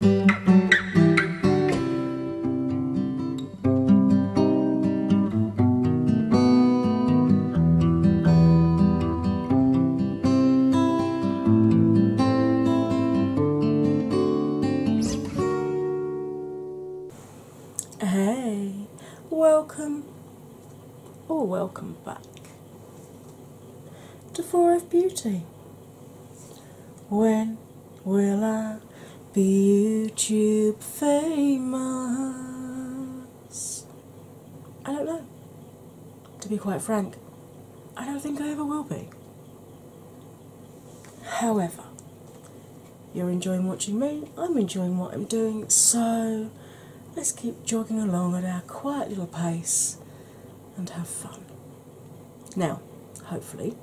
Hey, welcome or oh, welcome back to Four of Beauty. When will I be YouTube famous? I don't know. To be quite frank, I don't think I ever will be. However, you're enjoying watching me, I'm enjoying what I'm doing, so let's keep jogging along at our quiet little pace and have fun. Now, hopefully,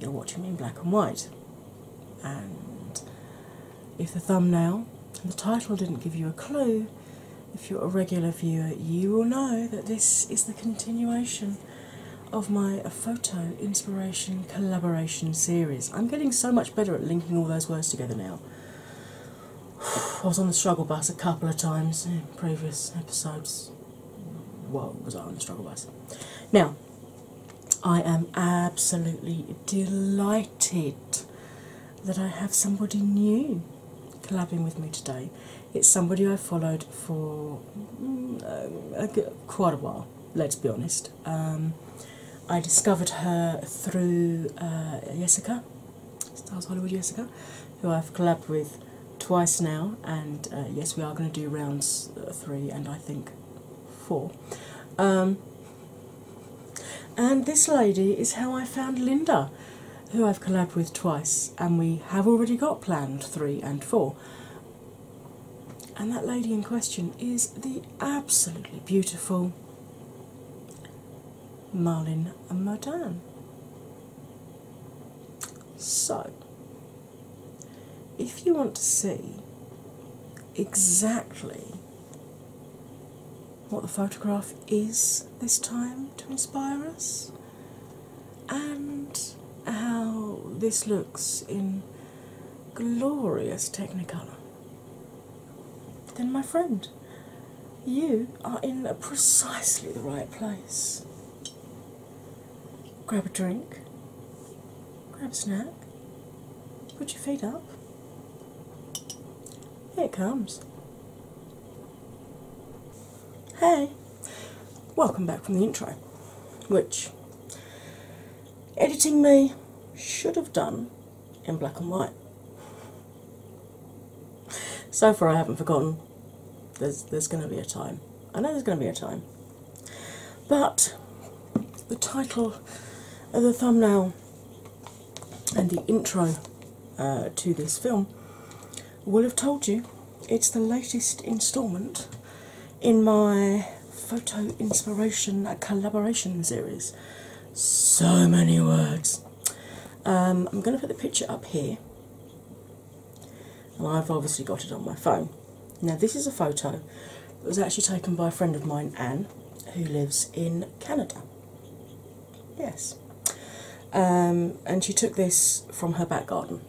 you're watching me in black and white, and if the thumbnail and the title didn't give you a clue, if you're a regular viewer, you will know that this is the continuation of my photo inspiration collaboration series. I'm getting so much better at linking all those words together now. I was on the struggle bus a couple of times in previous episodes what was I on the struggle bus? Now, I am absolutely delighted that I have somebody new collabing with me today. It's somebody I followed for mm, quite a while, let's be honest. Um, I discovered her through uh, Jessica, Stars Hollywood Jessica, who I've collabed with twice now, and uh, yes, we are going to do rounds uh, three and I think four. Um, and this lady is how I found Linda, who I've collabed with twice, and we have already got planned three and four. And that lady in question is the absolutely beautiful Marlin Modan. So, if you want to see exactly what the photograph is this time to inspire us and how this looks in glorious technicolor, then, my friend, you are in precisely the right place grab a drink, grab a snack, put your feet up. Here it comes. Hey, welcome back from the intro, which editing me should have done in black and white. So far, I haven't forgotten there's going to be a time. I know there's going to be a time. But the title of the thumbnail and the intro uh, to this film will have told you it's the latest instalment in my photo inspiration uh, collaboration series. So many words. Um, I'm going to put the picture up here and I've obviously got it on my phone. Now, this is a photo that was actually taken by a friend of mine, Anne, who lives in Canada. Yes. Um, and she took this from her back garden,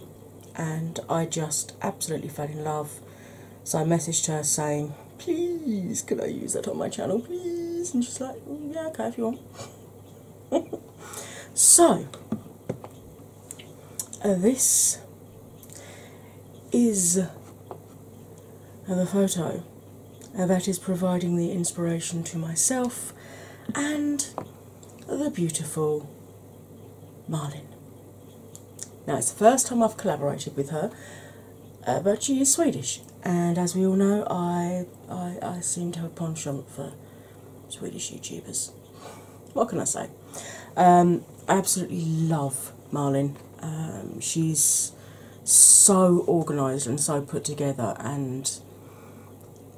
and I just absolutely fell in love. So I messaged her saying, Please, can I use that on my channel, please? And she's like, mm, Yeah, okay, if you want. so uh, this is the photo that is providing the inspiration to myself and the beautiful Marlin. Now, it's the first time I've collaborated with her, uh, but she is Swedish, and as we all know, I, I, I seem to have a penchant for Swedish YouTubers. What can I say? Um, I absolutely love Marlin. Um, she's so organised and so put together and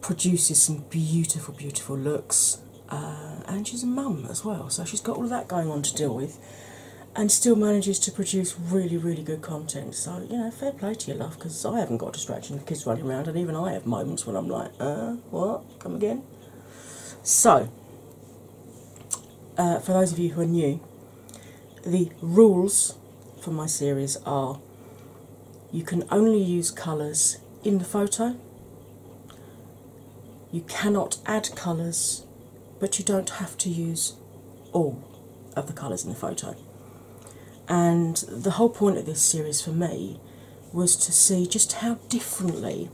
produces some beautiful, beautiful looks. Uh, and she's a mum as well, so she's got all of that going on to deal with and still manages to produce really, really good content. So, you know, fair play to you, love, because I haven't got distraction, the kids running around, and even I have moments when I'm like, uh, what? Come again? So, uh, for those of you who are new, the rules for my series are you can only use colours in the photo, you cannot add colours, but you don't have to use all of the colours in the photo. And the whole point of this series for me was to see just how differently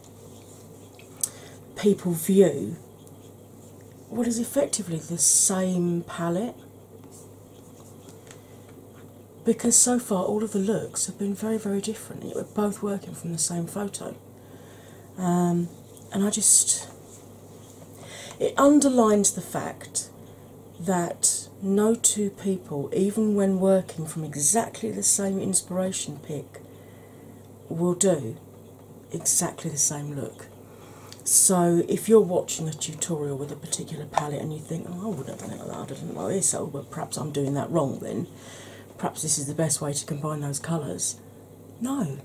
people view what is effectively the same palette. Because so far, all of the looks have been very, very different. We're both working from the same photo. Um, and I just. It underlines the fact that no two people, even when working from exactly the same inspiration pick, will do exactly the same look. So, if you're watching a tutorial with a particular palette and you think, oh, I wouldn't have done it like that, I didn't like this, oh, well, perhaps I'm doing that wrong then, perhaps this is the best way to combine those colours. No.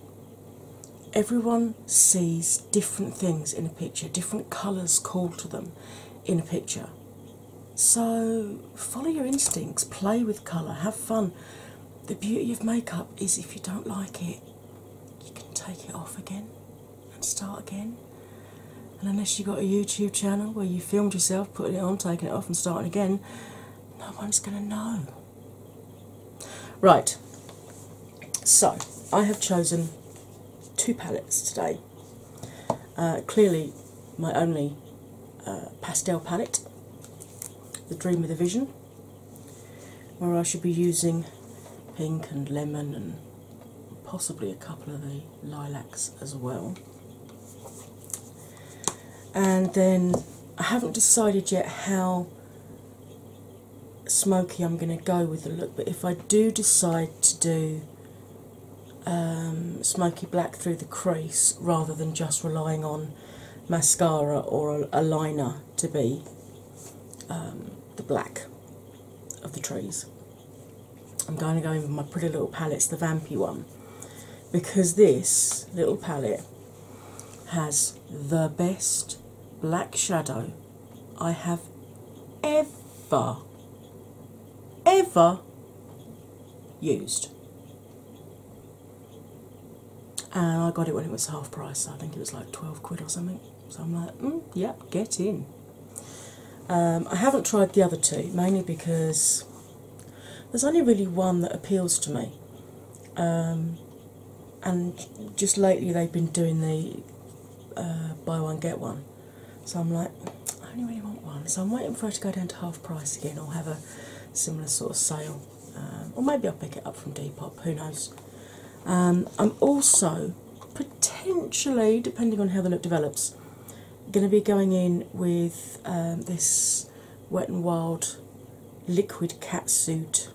Everyone sees different things in a picture, different colours call to them in a picture. So, follow your instincts, play with colour, have fun. The beauty of makeup is if you don't like it, you can take it off again and start again. And unless you've got a YouTube channel where you filmed yourself putting it on, taking it off, and starting again, no one's going to know. Right, so I have chosen two palettes today uh, clearly, my only uh, pastel palette, the Dream of the Vision, where I should be using pink and lemon and possibly a couple of the lilacs as well. And then I haven't decided yet how smoky I'm going to go with the look, but if I do decide to do um, smoky black through the crease rather than just relying on mascara or a, liner to be um, the black of the trees. I'm going to go in with my pretty little palettes, the Vampy one, because this little palette has the best black shadow I have ever, ever used. And I got it when it was half price, I think it was like 12 quid or something. So I'm like, mm, yep, get in. Um, I haven't tried the other two, mainly because there's only really one that appeals to me. Um, and just lately, they've been doing the uh, buy one, get one. So I'm like, I only really want one. So I'm waiting for it to go down to half price again. or have a similar sort of sale, um, or maybe I'll pick it up from Depop. Who knows? Um, I'm also potentially, depending on how the look develops, going to be going in with um, this Wet n Wild liquid Cat Suit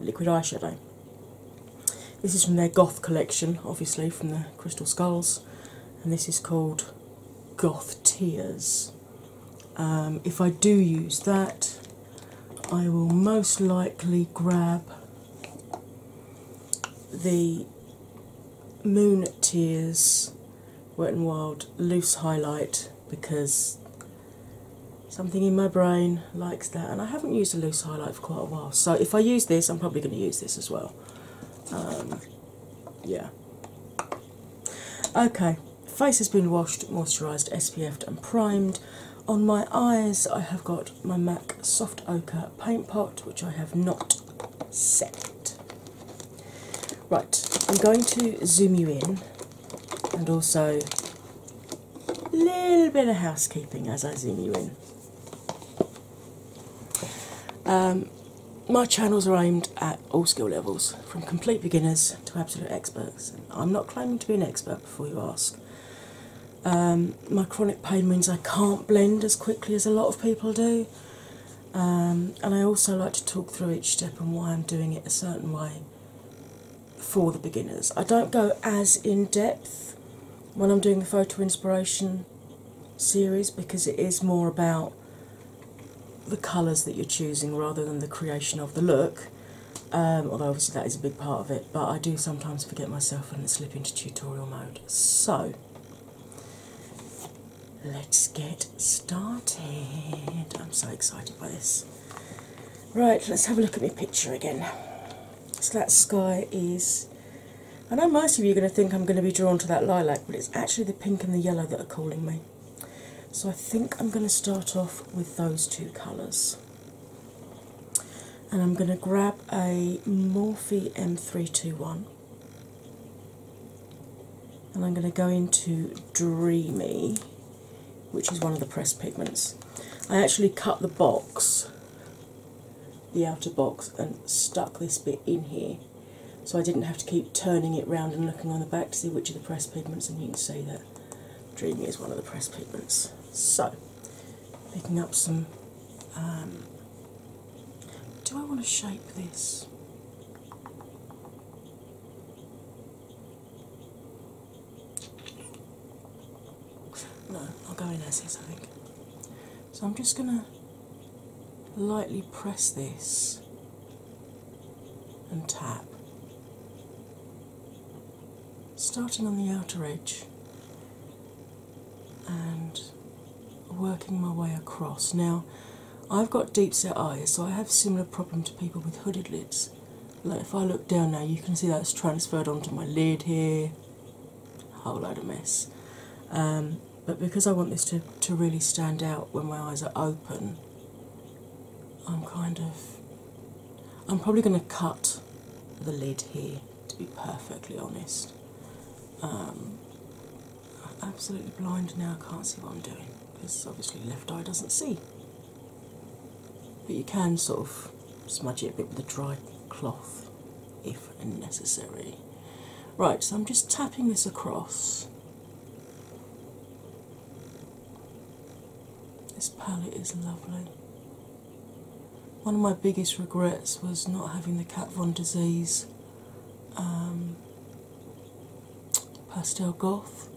liquid eyeshadow. This is from their Goth collection, obviously from the Crystal Skulls, and this is called Goth Tears. Um, if I do use that, I will most likely grab the Moon Tears Wet and Wild Loose Highlight because something in my brain likes that, and I haven't used a loose highlight for quite a while. So if I use this, I'm probably going to use this as well. Um, yeah. Okay, face has been washed, moisturised, SPF'd, and primed. On my eyes, I have got my MAC Soft Ochre Paint Pot, which I have not set. Right, I'm going to zoom you in and also a little bit of housekeeping as I zoom you in. Um, my channels are aimed at all skill levels, from complete beginners to absolute experts. I'm not claiming to be an expert before you ask. Um, my chronic pain means I can't blend as quickly as a lot of people do, um, and I also like to talk through each step and why I'm doing it a certain way for the beginners. I don't go as in depth when I'm doing the photo inspiration series because it is more about the colours that you're choosing rather than the creation of the look. Um, although obviously that is a big part of it, but I do sometimes forget myself and slip into tutorial mode. So let's get started. I'm so excited by this. Right, let's have a look at my picture again. So that sky is I know most of you are going to think I'm going to be drawn to that lilac, but it's actually the pink and the yellow that are calling me. So I think I'm going to start off with those two colours. And I'm going to grab a Morphe M321. And I'm going to go into Dreamy, which is one of the press pigments. I actually cut the box, the outer box, and stuck this bit in here so I didn't have to keep turning it round and looking on the back to see which of the press pigments, and you can see that Dreamy is one of the press pigments. So, picking up some. Um, do I want to shape this? No, I'll go in as is, I think. So I'm just going to lightly press this and tap, starting on the outer edge and working my way across. Now, I've got deep set eyes, so I have similar problem to people with hooded lids. Like if I look down now, you can see that's transferred onto my lid here. Whole lot of mess. Um, but because I want this to, to really stand out when my eyes are open, I'm kind of. I'm probably going to cut the lid here, to be perfectly honest. Um, I'm absolutely blind now, can't see what I'm doing because obviously left eye doesn't see. But you can sort of smudge it a bit with a dry cloth if enough necessary. Right, so I'm just tapping this across. This palette is lovely. One of my biggest regrets was not having the Kat Von Disease um, Pastel Goth.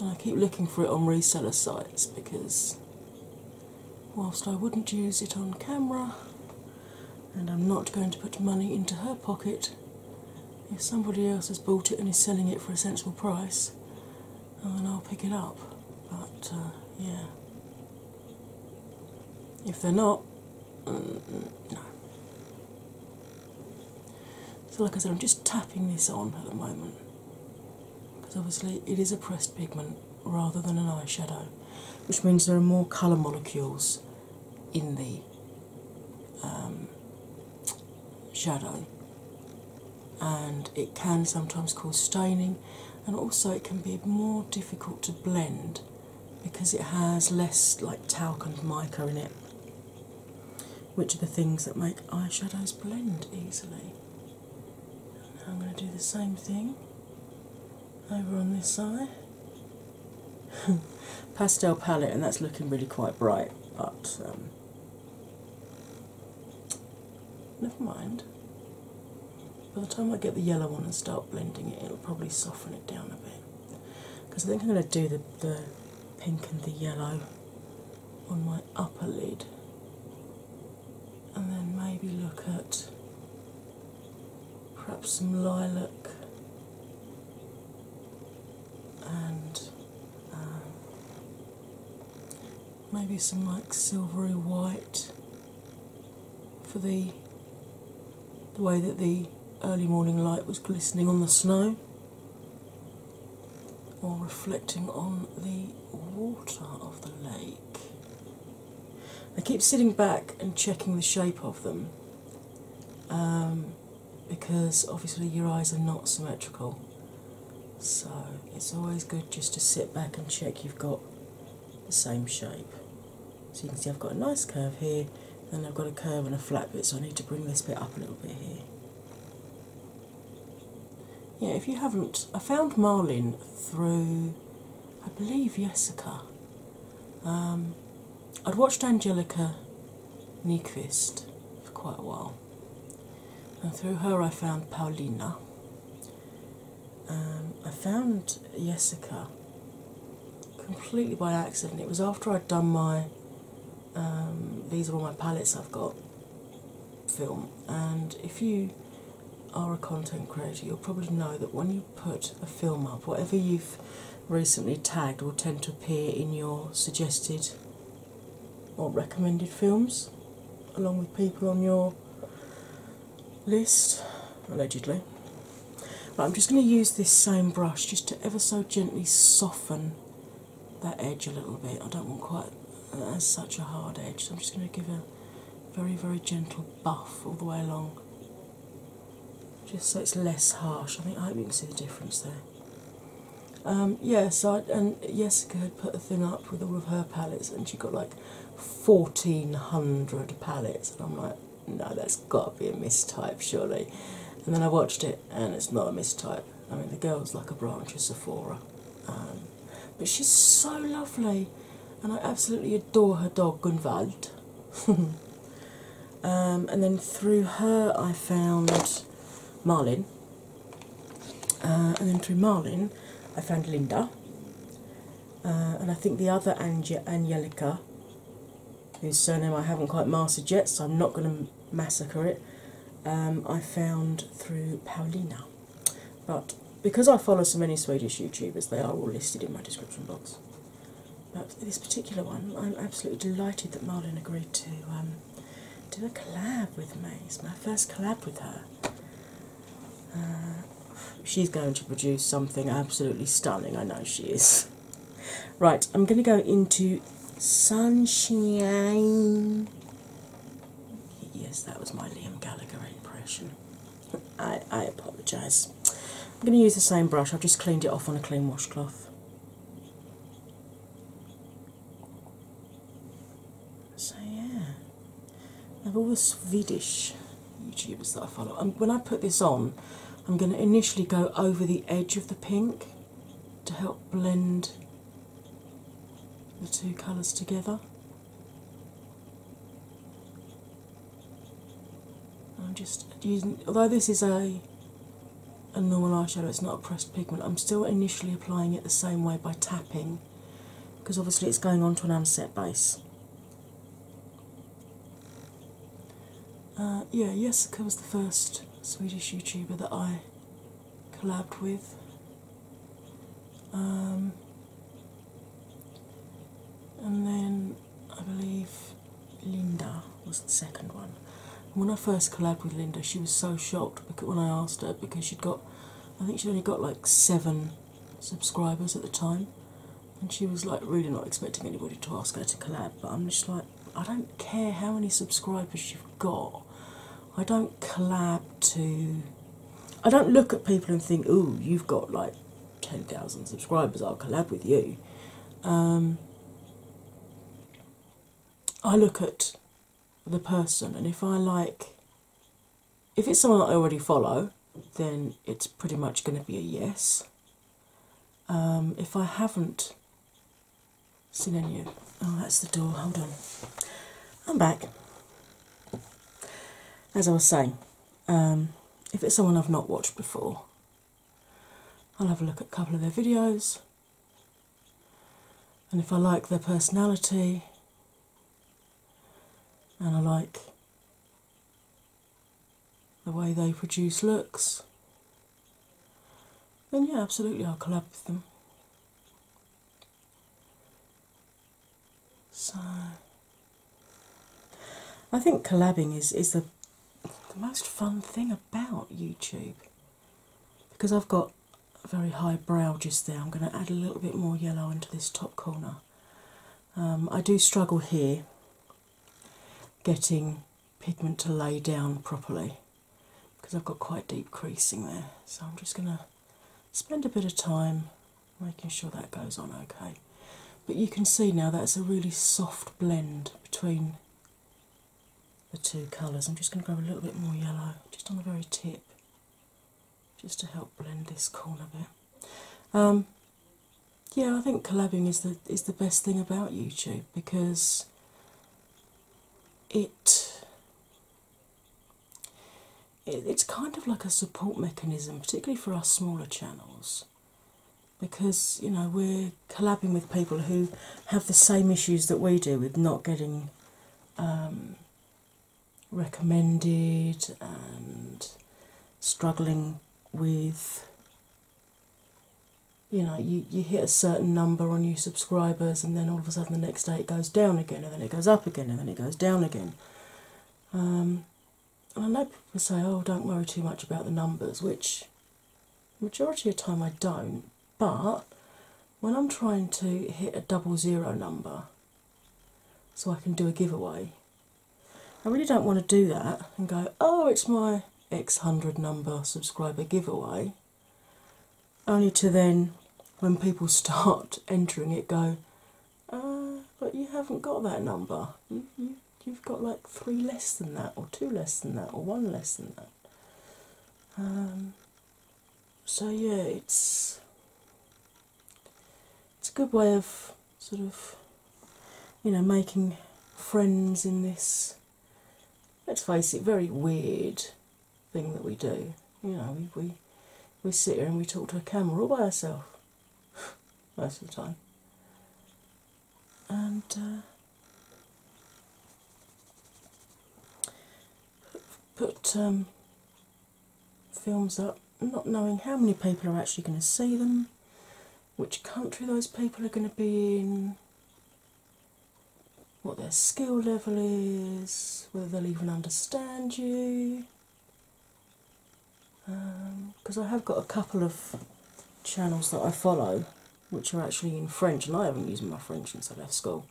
And I keep looking for it on reseller sites because whilst I wouldn't use it on camera, and I'm not going to put money into her pocket. If somebody else has bought it and is selling it for a sensible price, then I'll pick it up. But uh, yeah, if they're not, mm, mm, no. So, like I said, I'm just tapping this on at the moment because obviously it is a pressed pigment rather than an eyeshadow, which means there are more colour molecules in the um, shadow, and it can sometimes cause staining, and also it can be more difficult to blend because it has less like talc and mica in it, which are the things that make eyeshadows blend easily. Now I'm going to do the same thing over on this side. Pastel palette, and that's looking really quite bright, but um, never mind. By the time I get the yellow one and start blending it, it'll probably soften it down a bit. Because I think I'm going to do the, the pink and the yellow on my upper lid, and then maybe look at perhaps some lilac and um, maybe some like silvery white for the way that the early morning light was glistening on the snow or reflecting on the water of the lake. I keep sitting back and checking the shape of them um, because obviously your eyes are not symmetrical. So it's always good just to sit back and check you've got the same shape. So you can see I've got a nice curve here, and I've got a curve and a flat bit, so I need to bring this bit up a little bit here. Yeah, if you haven't, I found Marlin through, I believe, Jessica. Um, I'd watched Angelica Nyquist for quite a while, and through her I found Paulina. Um, I found Jessica completely by accident. It was after I'd done my um, These Are All My Palettes I've Got film, and if you are a content creator, you'll probably know that when you put a film up, whatever you've recently tagged will tend to appear in your suggested or recommended films, along with people on your list, allegedly. Right, I'm just going to use this same brush just to ever so gently soften that edge a little bit. I don't want quite uh, such a hard edge, I'm just going to give a very, very gentle buff all the way along just so it's less harsh. I think I hope you can see the difference there. Um, yes, I, and Jessica had put a thing up with all of her palettes, and she got like 1400 palettes, and I'm like, no, that's got to be a mistype, surely. And then I watched it, and it's not a mistype. I mean, the girl's like a branch of Sephora, um, but she's so lovely, and I absolutely adore her dog Gunvald. Um, and then through her I found Marlin, uh, and then through Marlin I found Linda, uh, and I think the other Ange Angelica, whose surname I haven't quite mastered yet, so I'm not going to massacre it. Um, I found through Paulina, but because I follow so many Swedish YouTubers, they are all listed in my description box. But this particular one, I'm absolutely delighted that Marlon agreed to um, do a collab with me. It's my first collab with her. Uh, she's going to produce something absolutely stunning, I know she is. Right, I'm going to go into Sunshine. Yes, that was my Liam Gallagher impression. I, I apologise. I'm going to use the same brush, I've just cleaned it off on a clean washcloth. So, yeah, of all the Swedish YouTubers that I follow, and when I put this on, I'm going to initially go over the edge of the pink to help blend the two colours together. I'm just using, although this is a a normal eyeshadow, it's not a pressed pigment. I'm still initially applying it the same way by tapping, because obviously it's going onto an unset base. Uh, yeah, Jessica was the first Swedish YouTuber that I collabed with. Um, and then I believe Linda was the second one. When I first collabed with Linda, she was so shocked when I asked her because she'd got, I think she only got like seven subscribers at the time, and she was like really not expecting anybody to ask her to collab. But I'm just like, I don't care how many subscribers you've got. I don't collab to. I don't look at people and think, "Ooh, you've got like 10,000 subscribers, I'll collab with you. Um, I look at the person, and if I like, if it's someone I already follow, then it's pretty much going to be a yes. Um, if I haven't seen any oh, that's the door, hold on. I'm back. As I was saying, um, if it's someone I've not watched before, I'll have a look at a couple of their videos, and if I like their personality and I like the way they produce looks, then yeah, absolutely, I'll collab with them. So, I think collabing is is the, most fun thing about YouTube because I've got a very high brow just there. I'm going to add a little bit more yellow into this top corner. Um, I do struggle here getting pigment to lay down properly because I've got quite deep creasing there. So I'm just going to spend a bit of time making sure that goes on okay. But you can see now that's a really soft blend between the two colours. I'm just going to go a little bit more yellow just on the very tip just to help blend this corner bit. Um, yeah, I think collabing is the is the best thing about YouTube because it it's kind of like a support mechanism, particularly for our smaller channels because you know we're collabing with people who have the same issues that we do with not getting um, recommended and struggling with you know you, you hit a certain number on your subscribers and then all of a sudden the next day it goes down again and then it goes up again and then it goes down again um, and I know people say, "Oh, don't worry too much about the numbers," which majority of the time I don't. But when I'm trying to hit a double zero number, so I can do a giveaway, I really don't want to do that and go, "Oh, it's my X hundred number subscriber giveaway," only to then, when people start entering it, go. Uh, but you haven't got that number. Mm-hmm you've got like three less than that, or two less than that, or one less than that. Um, so yeah, it's it's a good way of sort of you know making friends in this. Let's face it, very weird thing that we do. You know, we, we sit here and we talk to a camera all by ourselves most of the time and uh, put um, films up, not knowing how many people are actually going to see them, which country those people are going to be in, what their skill level is, whether they'll even understand you. Um, because I have got a couple of channels that I follow which are actually in French, and I haven't used my French since I left school.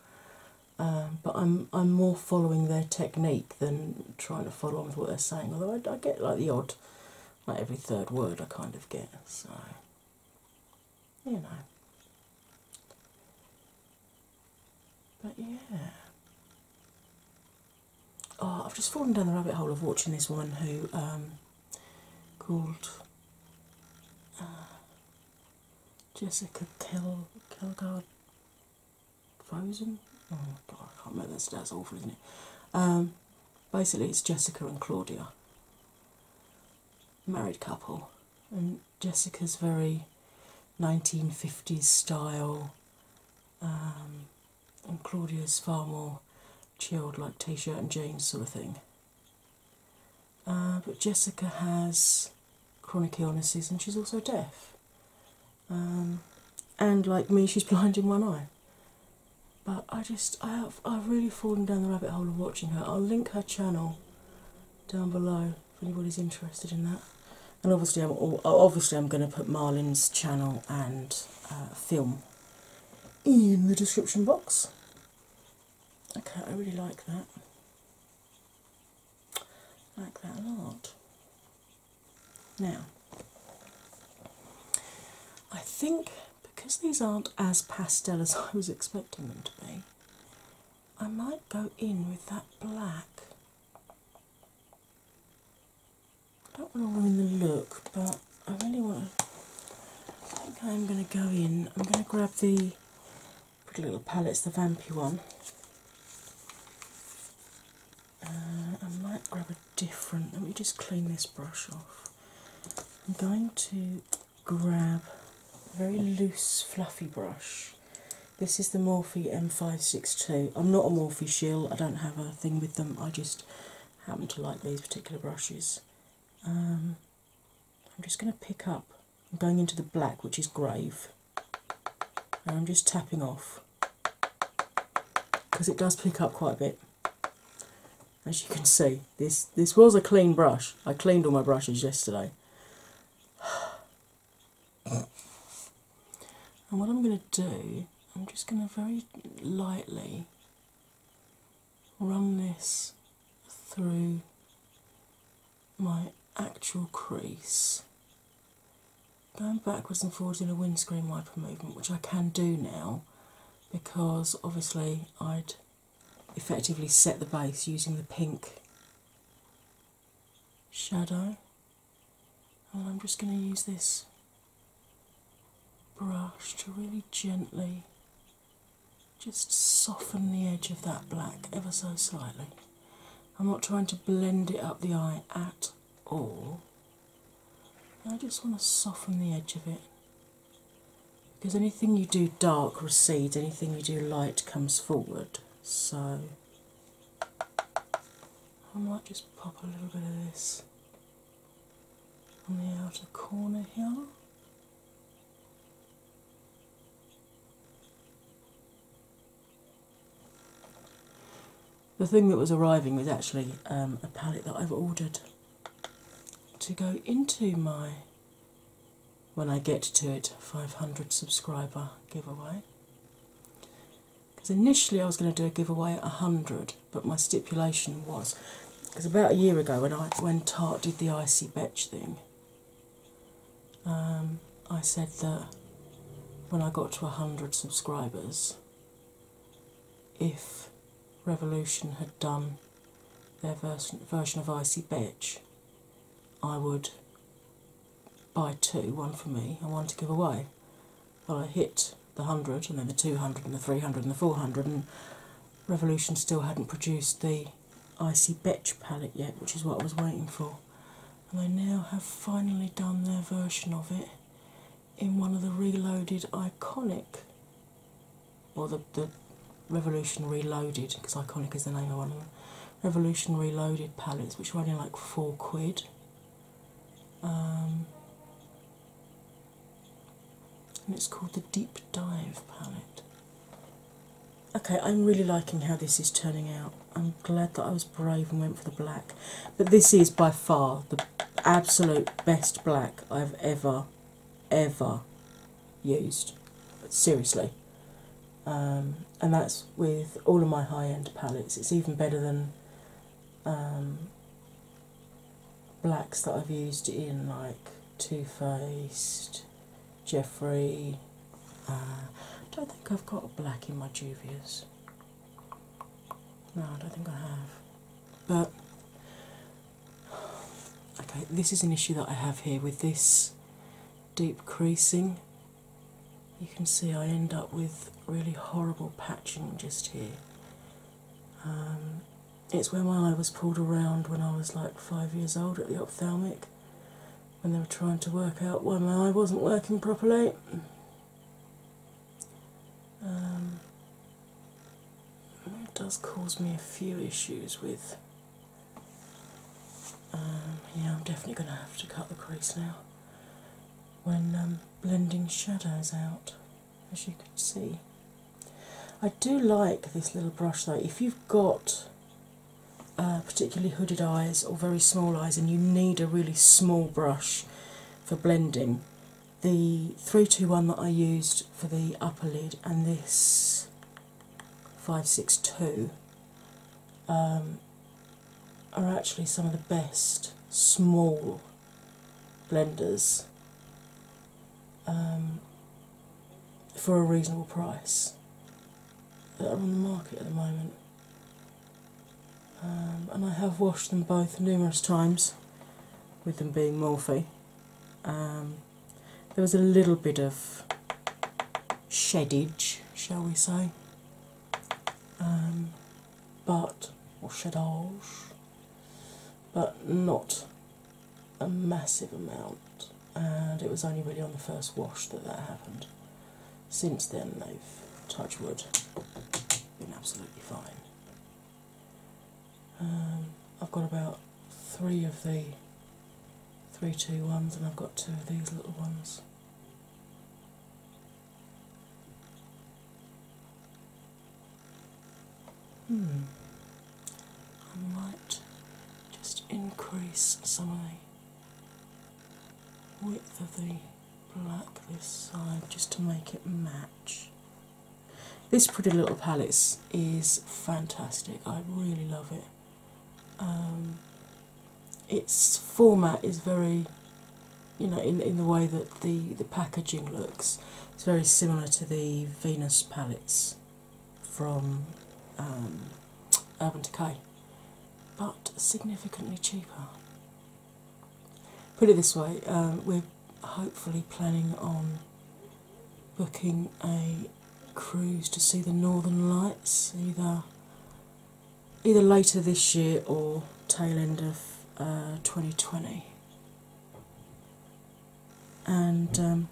Um, but I'm I'm more following their technique than trying to follow on with what they're saying. Although I, get like the odd, like every third word I kind of get. So you know. But yeah. Oh, I've just fallen down the rabbit hole of watching this one who um, called uh, Jessica Kel Kelgard Frozen. Oh God, I can't remember. That's, that's awful, isn't it? Um, basically, it's Jessica and Claudia, married couple, and Jessica's very 1950s style. Um, and Claudia's far more chilled, like t shirt and jeans sort of thing. Uh, but Jessica has chronic illnesses and she's also deaf. Um, and like me, she's blind in one eye. But I just, I have, I've really fallen down the rabbit hole of watching her. I'll link her channel down below if anybody's interested in that. And obviously, I'm obviously I'm going to put Marlin's channel and uh, film in the description box. Okay, I really like that. like that a lot. Now, I think because these aren't as pastel as I was expecting them to be, I might go in with that black. I don't want to ruin the look, but I really want to. I think I'm going to go in. I'm going to grab the pretty little palette. palettes, the vampy one. Uh, I might grab a different. Let me just clean this brush off. I'm going to grab a very loose, fluffy brush. This is the Morphe M562. I'm not a Morphe shill, I don't have a thing with them, I just happen to like these particular brushes. Um, I'm just going to pick up, I'm going into the black, which is grave, and I'm just tapping off because it does pick up quite a bit. As you can see, this this was a clean brush. I cleaned all my brushes yesterday. And what I'm going to do, I'm just going to very lightly run this through my actual crease. Going backwards and forwards in a windscreen wiper movement, which I can do now because obviously I'd effectively set the base using the pink shadow. And I'm just going to use this brush to really gently just soften the edge of that black ever so slightly. I'm not trying to blend it up the eye at all. I just want to soften the edge of it because anything you do dark recedes, anything you do light comes forward. So I might just pop a little bit of this on the outer corner here. The thing that was arriving was actually um, a palette that I've ordered to go into my, when I get to it, 500 subscriber giveaway. Because initially I was going to do a giveaway at 100, but my stipulation was because about a year ago when I when Tarte did the icy bitch thing, um, I said that when I got to hundred subscribers, if Revolution had done their version version of icy bitch, I would buy two, one for me and one to give away. Well, I hit the 100 and then the 200 and the 300 and the 400 and Revolution still hadn't produced the Icy Betch palette yet, which is what I was waiting for. And they now have finally done their version of it in one of the reloaded iconic, or the, the Revolution Reloaded, because iconic is the name of one of them, Revolutionary Reloaded palettes, which are only like four quid. Um, and it's called the Deep Dive palette. Okay, I'm really liking how this is turning out. I'm glad that I was brave and went for the black, but this is by far the absolute best black I've ever, ever used. Seriously. Um, and that's with all of my high end palettes. It's even better than um, blacks that I've used in like Too Faced, Jeffrey. Uh, I don't think I've got a black in my Juvia's. No, I don't think I have. But okay, this is an issue that I have here with this deep creasing. You can see I end up with really horrible patching just here. Um, it's where my eye was pulled around when I was like five years old at the ophthalmic when they were trying to work out why my eye wasn't working properly. Um, it does cause me a few issues with. Um, yeah, I'm definitely going to have to cut the crease now when blending shadows out as you can see. I do like this little brush though. If you've got uh, particularly hooded eyes or very small eyes and you need a really small brush for blending, the 321 that I used for the upper lid and this 562 um, are actually some of the best small blenders um, for a reasonable price that are on the market at the moment. Um, and I have washed them both numerous times, with them being Morphy, um, there was a little bit of shedage, shall we say, but, or shedage, but not a massive amount. And it was only really on the first wash that that happened. Since then, they've touch wood been absolutely fine. Um, I've got about three of the three two ones, and I've got two of these little ones. Hmm. I might just increase some of the width of the black this side just to make it match. This Pretty Little Palette is fantastic. I really love it. Um, its format is very, you know, in, in the way that the, the packaging looks. It's very similar to the Venus palettes from um, Urban Decay, but significantly cheaper. Put it this way, um, we're hopefully planning on booking a cruise to see the Northern Lights either either later this year or tail end of 2020. Uh, and um,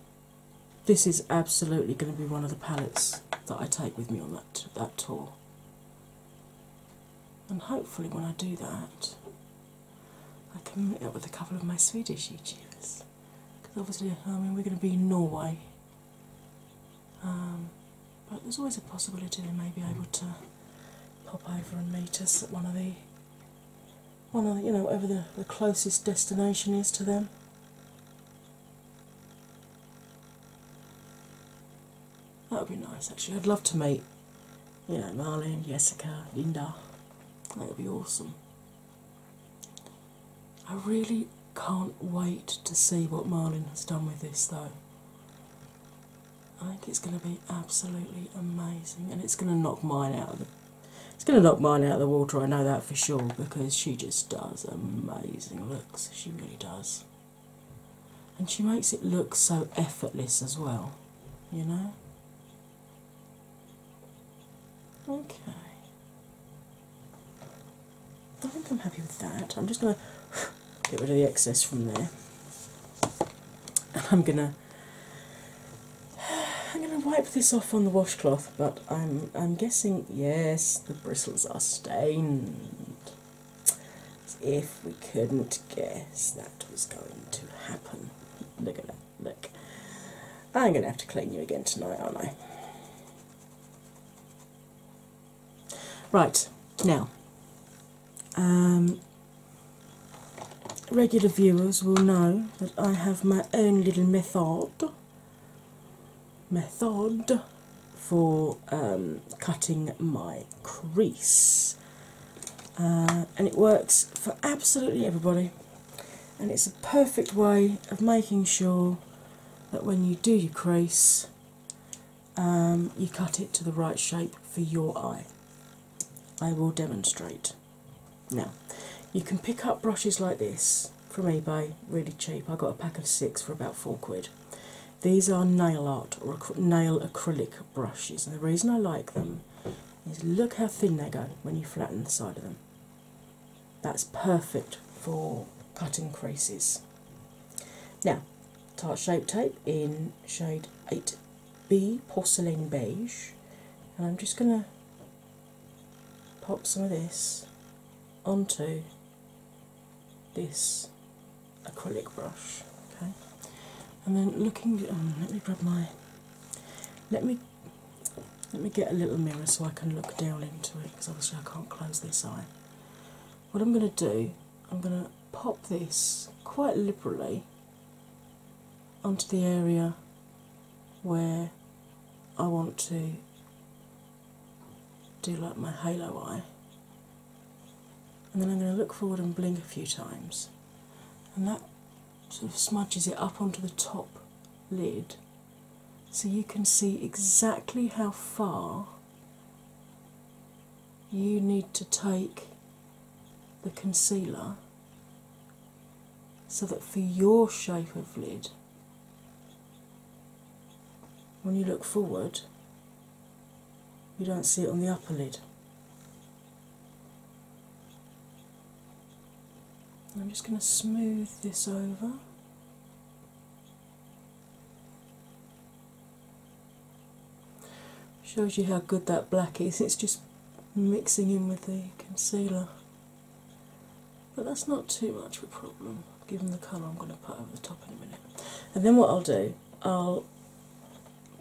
this is absolutely going to be one of the palettes that I take with me on that, that tour. And hopefully, when I do that, I can meet up with a couple of my Swedish YouTubers because obviously, I mean, we're going to be in Norway. Um, but there's always a possibility they may be able to pop over and meet us at one of the on a you know whatever the, closest destination is to them. That would be nice actually. I'd love to meet, you know, Marlene, Jessica, Linda. That would be awesome. I really can't wait to see what Marlin has done with this though. I think it's going to be absolutely amazing and it's going to knock mine out it's going to knock mine out of the water, I know that for sure, because she just does amazing looks. She really does. And she makes it look so effortless as well, you know? Okay. I think I'm happy with that. I'm just going to get rid of the excess from there. And I'm going to I'm going to wipe this off on the washcloth, but I'm I'm guessing yes, the bristles are stained. if we couldn't guess that was going to happen. Look at that. Look. I'm going to have to clean you again tonight, aren't I? Right now, um, regular viewers will know that I have my own little method method for um, cutting my crease. Uh, and it works for absolutely everybody, and it's a perfect way of making sure that when you do your crease, um, you cut it to the right shape for your eye. I will demonstrate. Now, you can pick up brushes like this from eBay really cheap. I got a pack of six for about four quid. These are nail art or nail acrylic brushes, and the reason I like them is look how thin they go when you flatten the side of them. That's perfect for cutting creases. Now, Tarte Shape Tape in shade 8B Porcelain Beige, and I'm just going to pop some of this onto this acrylic brush. Okay, and then looking. Um, let me grab my. Let me let me get a little mirror so I can look down into it because obviously I can't close this eye. What I'm going to do, I'm going to pop this quite liberally onto the area where I want to do like my halo eye. And then I'm going to look forward and blink a few times. And that sort of smudges it up onto the top lid so you can see exactly how far you need to take the concealer so that for your shape of lid, when you look forward, you don't see it on the upper lid. I'm just going to smooth this over. Shows you how good that black is, it's just mixing in with the concealer. But that's not too much of a problem given the colour I'm going to put over the top in a minute. And then what I'll do, I'll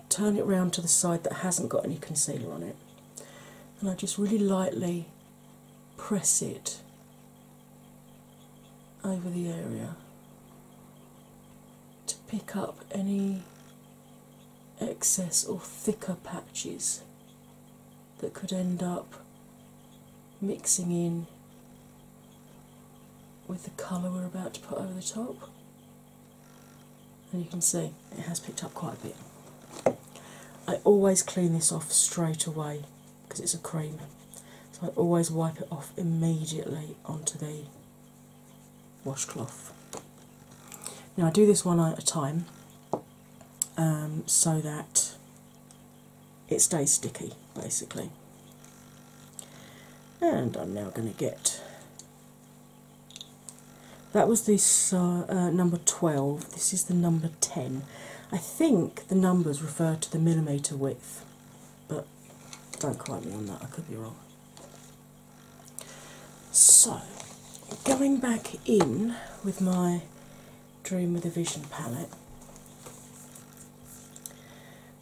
turn it round to the side that hasn't got any concealer on it, and I just really lightly press it over the area to pick up any excess or thicker patches that could end up mixing in with the colour we're about to put over the top. And you can see it has picked up quite a bit. I always clean this off straight away because it's a cream. So I always wipe it off immediately onto the washcloth. Now I do this one at a time um, so that it stays sticky basically. And I'm now going to get that was this uh, number 12, this is the number 10. I think the numbers refer to the millimetre width, but don't quote me on that, I could be wrong. So, going back in with my Dream with a Vision palette,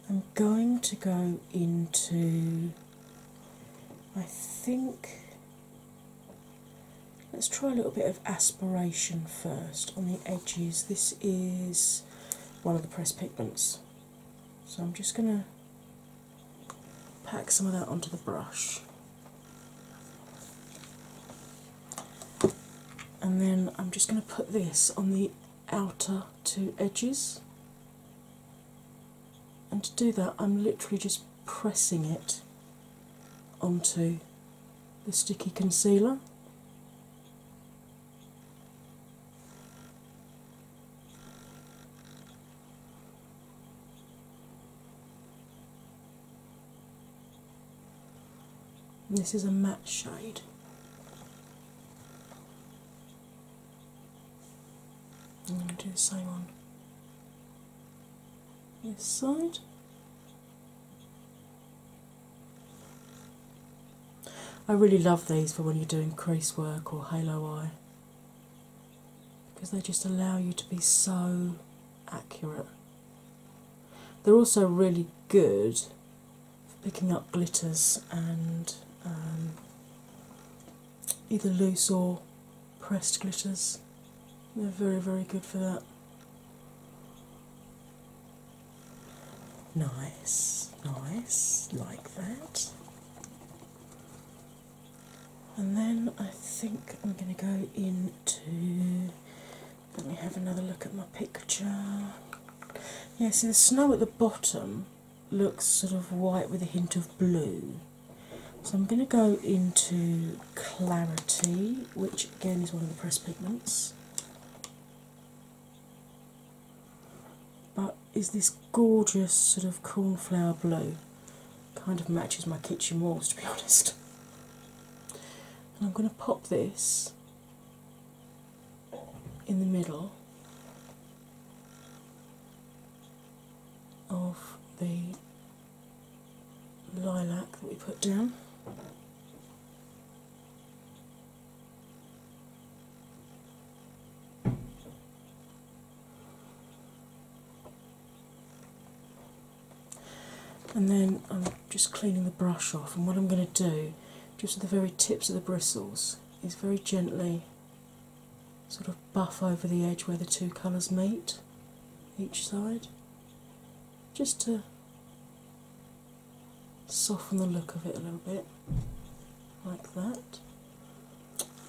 I'm going to go into, I think, let's try a little bit of aspiration first on the edges. This is one of the press pigments, so I'm just going to pack some of that onto the brush and then I'm just going to put this on the outer two edges. And to do that, I'm literally just pressing it onto the sticky concealer this is a matte shade. I'm going to do the same on this side. I really love these for when you're doing crease work or halo eye because they just allow you to be so accurate. They're also really good for picking up glitters and um, either loose or pressed glitters. They're very, very good for that. Nice, nice, like that. And then I think I'm going to go into. Let me have another look at my picture. Yeah, see the snow at the bottom looks sort of white with a hint of blue. So I'm going to go into Clarity, which again is one of the press pigments. But is this gorgeous sort of cornflower blue? kind of matches my kitchen walls to be honest. And I'm going to pop this in the middle of the lilac that we put down. And then I'm just cleaning the brush off, and what I'm going to do, just with the very tips of the bristles, is very gently sort of buff over the edge where the two colours meet each side, just to soften the look of it a little bit, like that,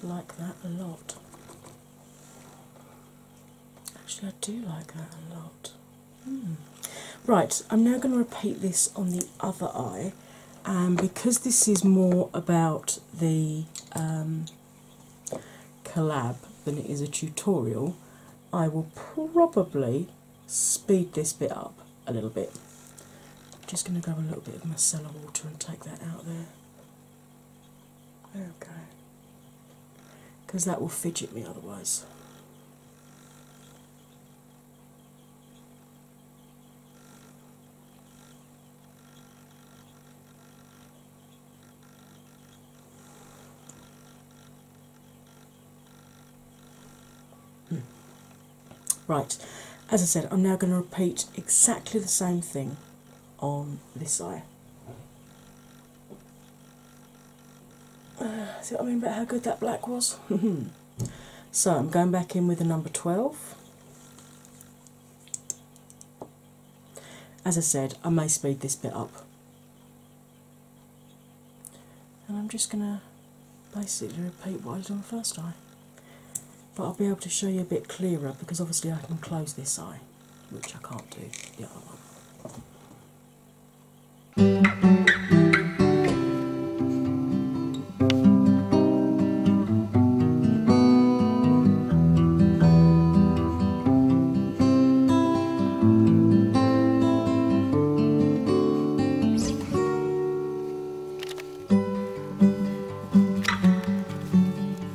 like that a lot. Actually, I do like that a lot. Hmm. Right, I'm now going to repeat this on the other eye, and because this is more about the um, collab than it is a tutorial, I will probably speed this bit up a little bit. I'm just going to go a little bit of micellar water and take that out there. Okay, oh, Because that will fidget me otherwise. Hmm. Right, as I said, I'm now going to repeat exactly the same thing on this eye. Uh, see what I mean about how good that black was? so I'm going back in with the number 12. As I said, I may speed this bit up. And I'm just going to basically repeat what I did on the first eye. But I'll be able to show you a bit clearer because obviously I can close this eye which I can't do the other one.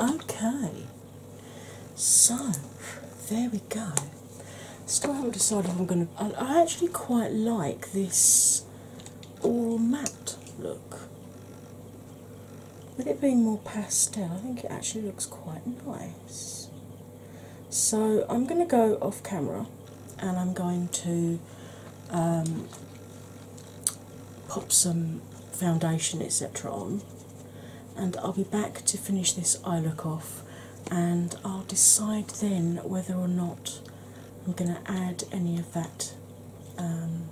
Okay, so there we go. Still haven't decided if I'm going to. I actually quite like this all matte look. With it being more pastel, I think it actually looks quite nice. So I'm going to go off camera and I'm going to um, pop some foundation, etc., on, and I'll be back to finish this eye look off. And I'll decide then whether or not I'm going to add any of that um,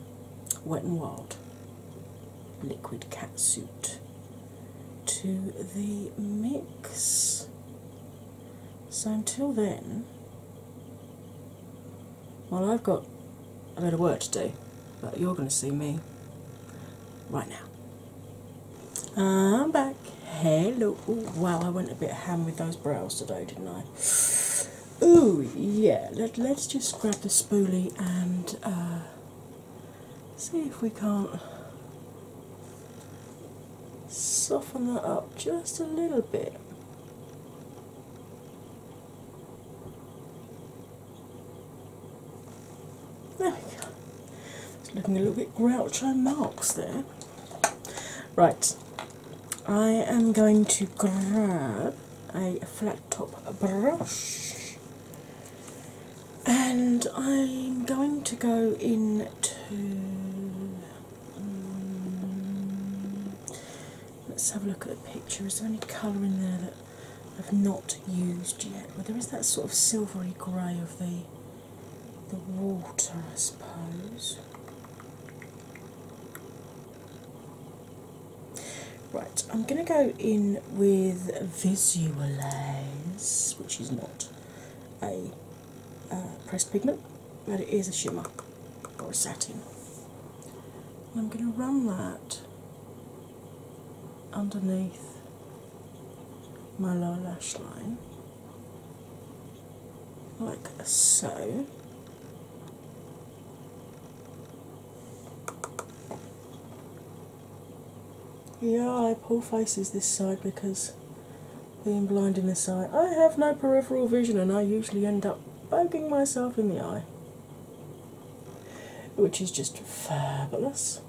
Wet n Wild liquid Cat Suit to the mix. So until then, well, I've got a bit of work to do, but you're going to see me right now. I'm back. Hello. Ooh, wow, I went a bit ham with those brows today, didn't I? Oh yeah. Let, let's just grab the spoolie and uh, see if we can't soften that up just a little bit. There we go. It's looking a little bit and marks there. Right, I am going to grab a flat top brush and I'm going to go into um, mm, let's have a look at the picture. Is there any colour in there that I've not used yet? Well, there is that sort of silvery grey of the the water, I suppose. Right, I'm going to go in with Visualize, which is not a uh, pressed pigment, but it is a shimmer or a satin. I'm going to run that underneath my lower lash line like so. Yeah, I pull faces this side because being blind in this eye, I have no peripheral vision and I usually end up poking myself in the eye, which is just fabulous.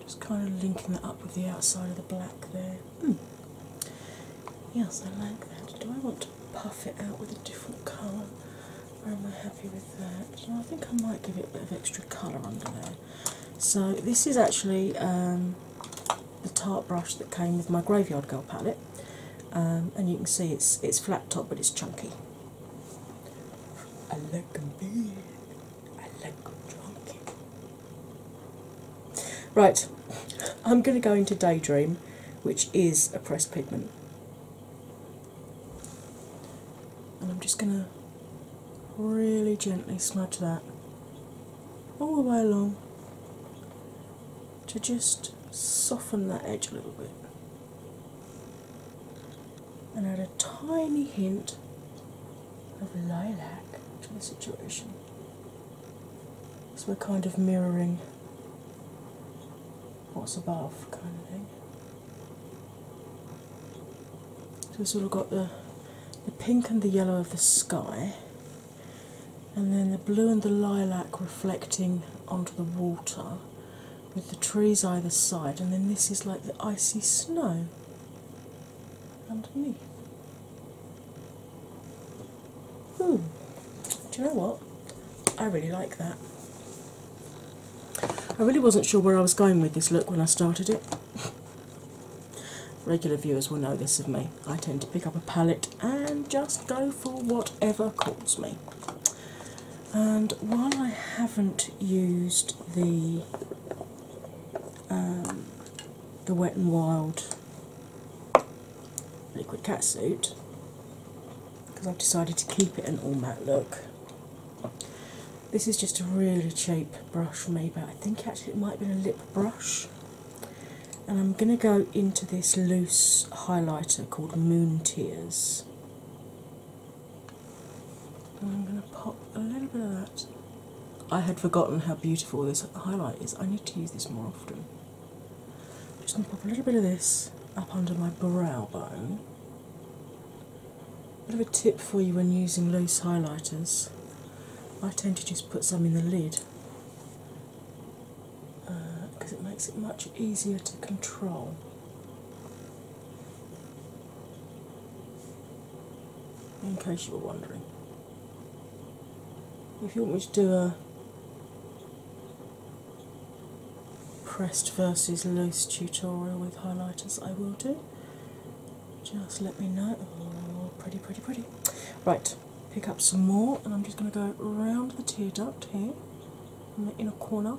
Just kind of linking that up with the outside of the black there. Hmm. Yes, I like that. Do I want to puff it out with a different colour? am I happy with that? I think I might give it a bit of extra colour under there. So this is actually um, the tart brush that came with my Graveyard Girl palette, um, and you can see it's it's flat top but it's chunky. I like them big. I like them chunky. Right, I'm going to go into Daydream, which is a pressed pigment and I'm just going to really gently smudge that all the way along to just soften that edge a little bit and add a tiny hint of lilac to the situation. So we're kind of mirroring what's above kind of thing. So we've sort of got the the pink and the yellow of the sky, and then the blue and the lilac reflecting onto the water with the trees either side, and then this is like the icy snow underneath. Hmm, do you know what? I really like that. I really wasn't sure where I was going with this look when I started it. Regular viewers will know this of me. I tend to pick up a palette and just go for whatever calls me. And while I haven't used the um, the Wet n Wild liquid Suit because I've decided to keep it an all matte look. This is just a really cheap brush from eBay. I think actually it might be a lip brush. And I'm going to go into this loose highlighter called Moon Tears. And I'm going to pop a little bit of that. I had forgotten how beautiful this highlight is. I need to use this more often. I'm just going to pop a little bit of this up under my brow bone. Bit of a tip for you when using loose highlighters. I tend to just put some in the lid because uh, it makes it much easier to control. In case you were wondering. If you want me to do a pressed versus loose tutorial with highlighters, I will do. Just let me know. Oh, pretty, pretty, pretty. Right, pick up some more, and I'm just going to go around the tear duct here in the inner corner.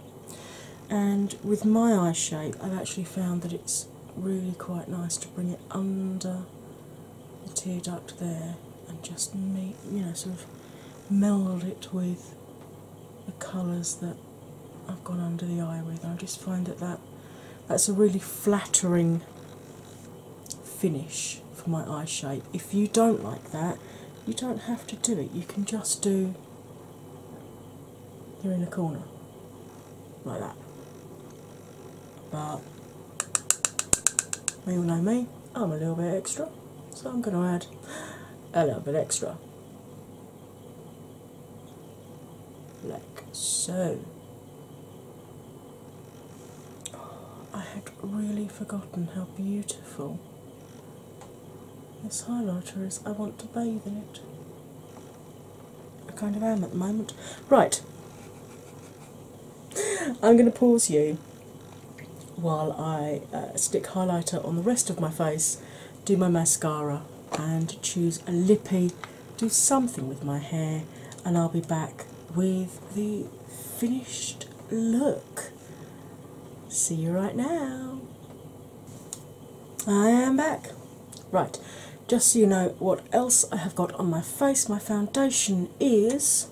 And with my eye shape, I've actually found that it's really quite nice to bring it under the tear duct there and just meet, you know, sort of meld it with the colours that I've gone under the eye with. I just find that, that that's a really flattering finish for my eye shape. If you don't like that, you don't have to do it. You can just do you're in a corner like that. But you all know me, I'm a little bit extra, so I'm going to add a little bit extra like so. Oh, I had really forgotten how beautiful this highlighter is. I want to bathe in it. I kind of am at the moment. Right, I'm going to pause you while I uh, stick highlighter on the rest of my face do my mascara and choose a lippy, do something with my hair, and I'll be back with the finished look. See you right now. I am back. Right, just so you know what else I have got on my face, my foundation is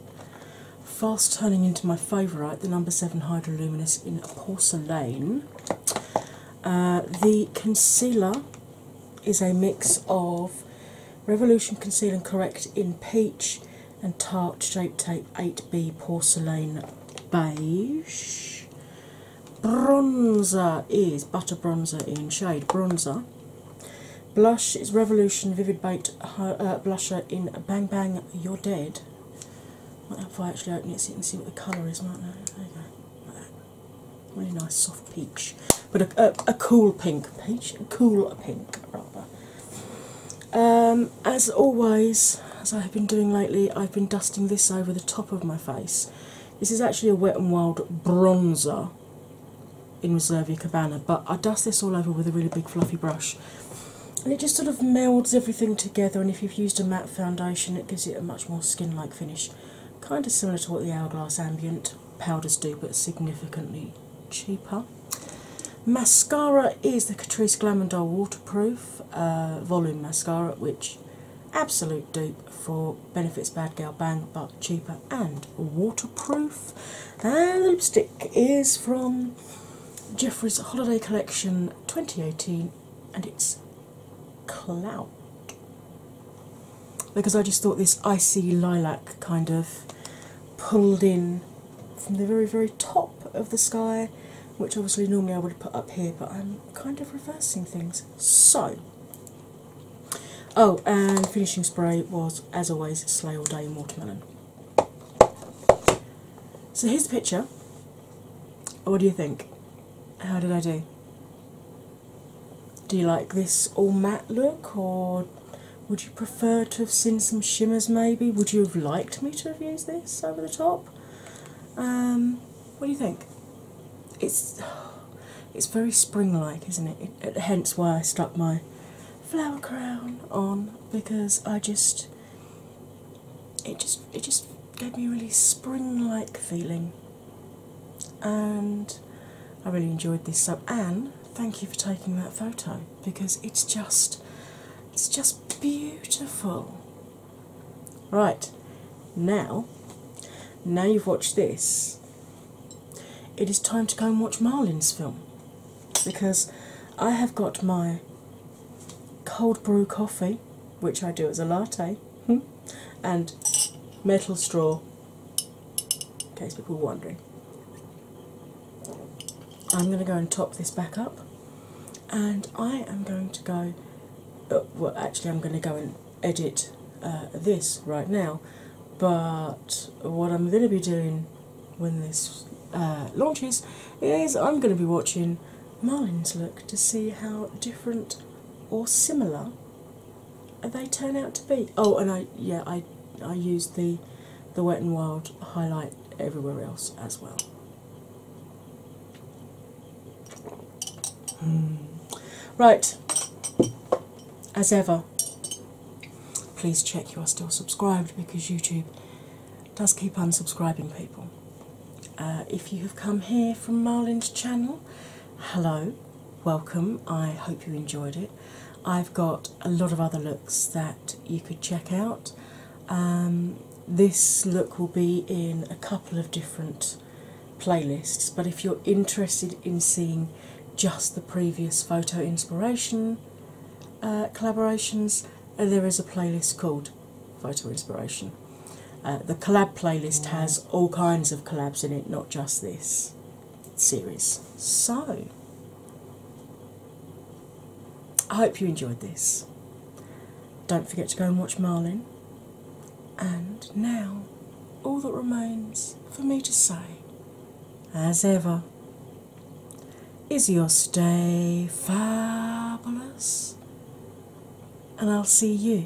fast turning into my favourite, the number 7 Hydroluminous in porcelain. Uh, the concealer is a mix of Revolution Conceal and Correct in Peach and Tarte Shape Tape 8B Porcelain Beige. Bronzer is Butter Bronzer in shade Bronzer. Blush is Revolution Vivid Baked uh, Blusher in Bang Bang You're Dead. Might have if I actually open it so you can see what the colour is, might There you go. really nice soft peach. But a, a, cool pink peach. cool pink rather. Um, as always, as I have been doing lately, I've been dusting this over the top of my face. This is actually a Wet n Wild bronzer in Reservia Cabana, but I dust this all over with a really big fluffy brush. And it just sort of melds everything together, and if you've used a foundation, it gives it a much more skin like finish, kind of similar to what the Hourglass Ambient powders do, but significantly cheaper. Mascara is the Catrice Glamondor Waterproof uh, Volume Mascara, which absolute dupe for Benefits Bad Girl Bang, but cheaper and waterproof. And lipstick is from Jeffrey's Holiday Collection 2018 and it's clout because I just thought this icy lilac kind of pulled in from the very, very top of the sky, which obviously normally I would have put up here, but I'm kind of reversing things. So, oh, and finishing spray was, as always, Slay All Day Watermelon. So here's the picture what do you think? How did I do? Do you like this all matte look, or would you prefer to have seen some shimmers maybe? Would you have liked me to have used this over the top? Um, what do you think? It's it's very spring-like, isn't it? Hence why I stuck my flower crown on because I just it just it just gave me a really spring-like feeling and I really enjoyed this. So Anne, thank you for taking that photo because it's just it's just beautiful. Right, now now you've watched this, it is time to go and watch Marlin's film because I have got my cold brew coffee, which I do as a latte, hmm, and metal straw, in case people are wondering. I'm going to go and top this back up, and I am going to go. Uh, well, actually, I'm going to go and edit uh, this right now, but what I'm going to be doing when this uh, launches is I'm going to be watching Marlin's look to see how different or similar they turn out to be. Oh, and I yeah I I used the the Wet n Wild highlight everywhere else as well. Hmm. Right, as ever, please check you are still subscribed because YouTube does keep unsubscribing people. Uh, if you have come here from Marlin's channel, hello, welcome. I hope you enjoyed it. I've got a lot of other looks that you could check out. Um, this look will be in a couple of different playlists, but if you're interested in seeing just the previous photo inspiration uh, collaborations, uh, there is a playlist called Photo Inspiration. Uh, the collab playlist has all kinds of collabs in it, not just this series. So, I hope you enjoyed this. Don't forget to go and watch Marlin. And now, all that remains for me to say, as ever, is your stay fabulous, and I'll see you